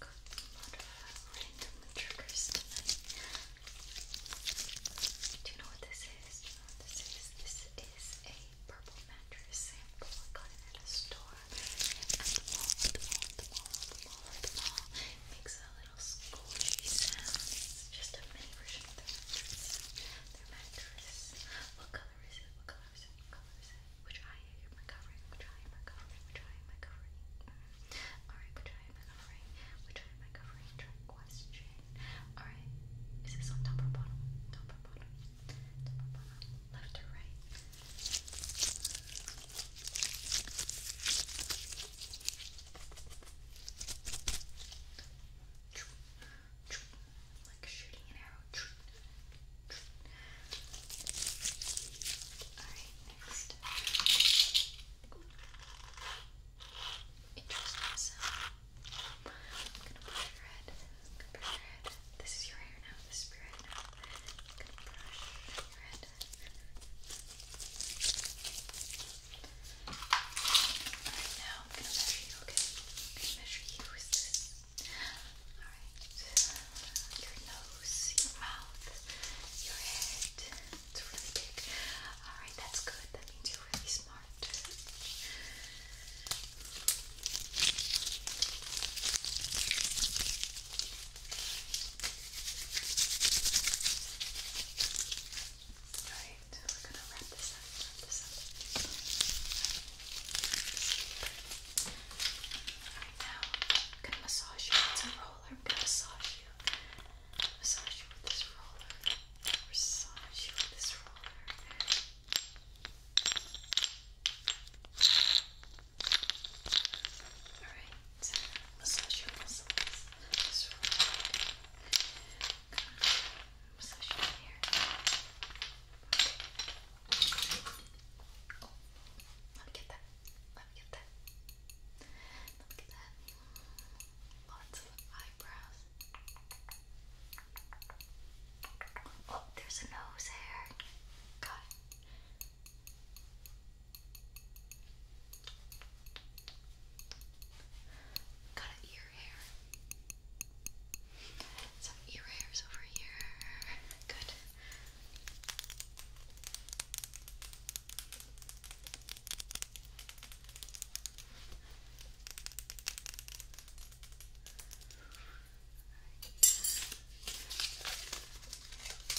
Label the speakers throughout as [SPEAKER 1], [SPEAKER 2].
[SPEAKER 1] Got Do you know what this is? this is? a purple mattress sample. I got at a store. At the mall, at the mall, at the mall, at the mall, makes a little squishy sound. It's just a mini version of their mattress. Their mattress. What color is it? colors, colors, which eye am I which eye am I mm. which eye am I alright, which eye am I which eye am I trick question, alright, is this on top or bottom, top or bottom, top or bottom, left or right, like shooting an arrow. Alright, next. Interesting sound. I'm gonna brush your head. brush your head. This is your hair now. This is now. I'm gonna brush your head. now I'm gonna measure you, okay? measure you. Is this Alright. Your nose, your mouth, your head. It's really big. Alright, that's good. That means you're really smart. Alright, we're gonna wrap this now I'm gonna massage you. It's a roller. I'm gonna massage you. Massage you with this roller. Massage you with this roller. Alright. Massage your muscles. This roller let me get that. Let me get that. Let me get that. Lots of eyebrows. Oh, there's a nose hair. Got it. Got an ear some ear hairs over here. Good.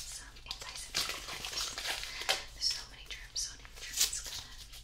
[SPEAKER 1] Some antiseptic There's so many germs, so many germs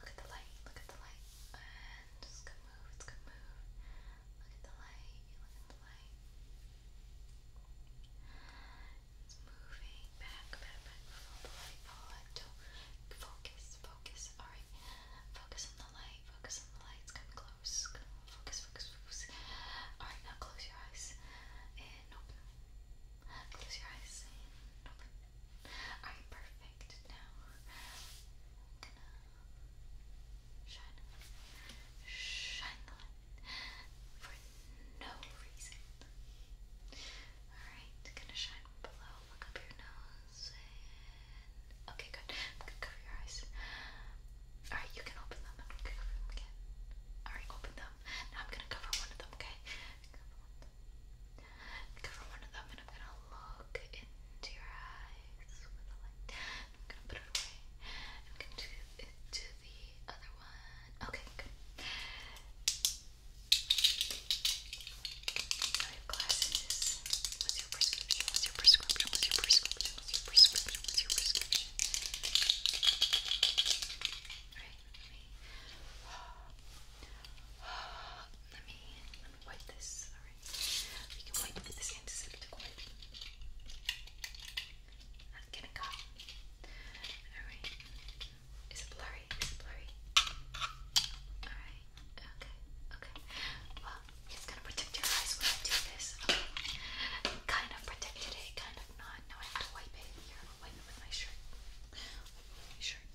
[SPEAKER 1] Look at the light, look at the light. And it's good move, it's good move. Look at the light, look at the light. It's moving back, back, back. Follow the light, follow it. do focus, focus. Alright. Focus on the light, focus on the light. It's coming close. Focus, focus, focus. Alright, now close your eyes and Close your eyes Alright, perfect. Now gonna shine, shine the light for no reason. Alright, gonna shine below. Look up your nose okay, good. I'm gonna cover your eyes. Alright, you can open them and we can cover them again. Alright, open them them. Now I'm gonna cover one of them, okay? Cover one of them and I'm gonna look into your eyes with a light. I'm gonna put it away. I'm gonna do it to the other one. Okay, glasses. What's your prescription? What's your prescription? What's your prescription? What's your prescription? What's your prescription? Alright, let me let me wipe this. Alright. We can wipe with this antiseptic wipe. Not getting caught. Alright. Is it blurry? Is it blurry? Alright. Okay. Okay. Well, it's gonna protect your eyes when I do this. Okay. Kind of protected it, kind of but not. Now I have to wipe it here. i am wipe it with my shirt. Wipe it with my shirt.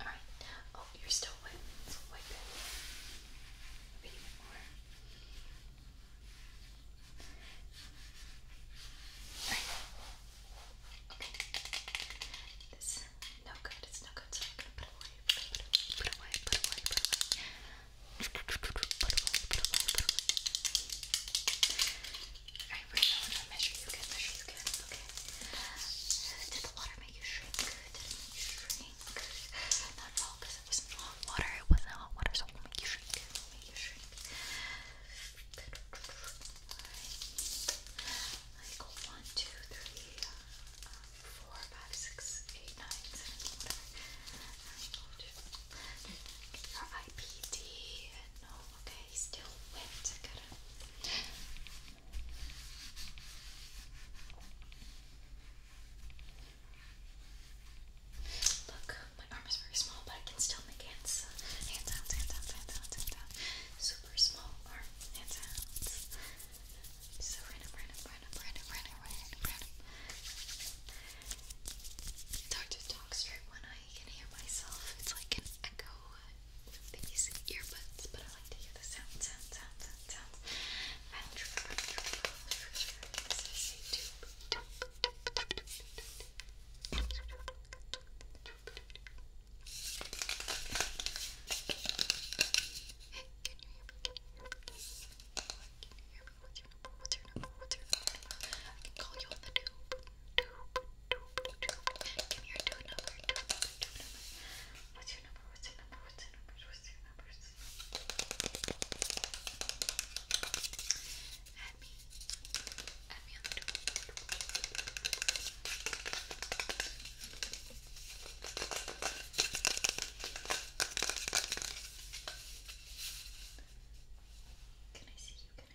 [SPEAKER 1] Alright. Oh, you're still wet. So wipe it. A bit more. This no good, it's no good, so I'm gonna put it away, put it away, put it away, put it away, put it away, put it away, put it away, put it away, put it away. Alright, we're gonna to measure you good, measure you good, okay. Did the water make you shrink? Did it make you shrink? Not at all, because because it wasn't hot water. It wasn't hot water, so it will make you shrink. make you shrink. Good. Alright. your IPD. No, okay, still wet. I got Look, my arm is very small, but I can still make hands. Hand sounds, hand sounds, hand sounds, hand sounds. Super small arm, hand sounds. So random, random, random, random, random, random, random. It's hard to talk straight when I can hear myself. It's like an echo with these earbuds, but I like to hear the sound, sound, sound that sounds wonderful, wonderful for sure. This is a tube. I can call you on the tube. Tube, tube, tube. me What's your number? What's your number? What's your number? What's your number? members. Add me. Add me on the door. Can I see you? Can I see you? Can I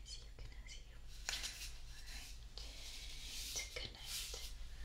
[SPEAKER 1] see you? Alright. Good night.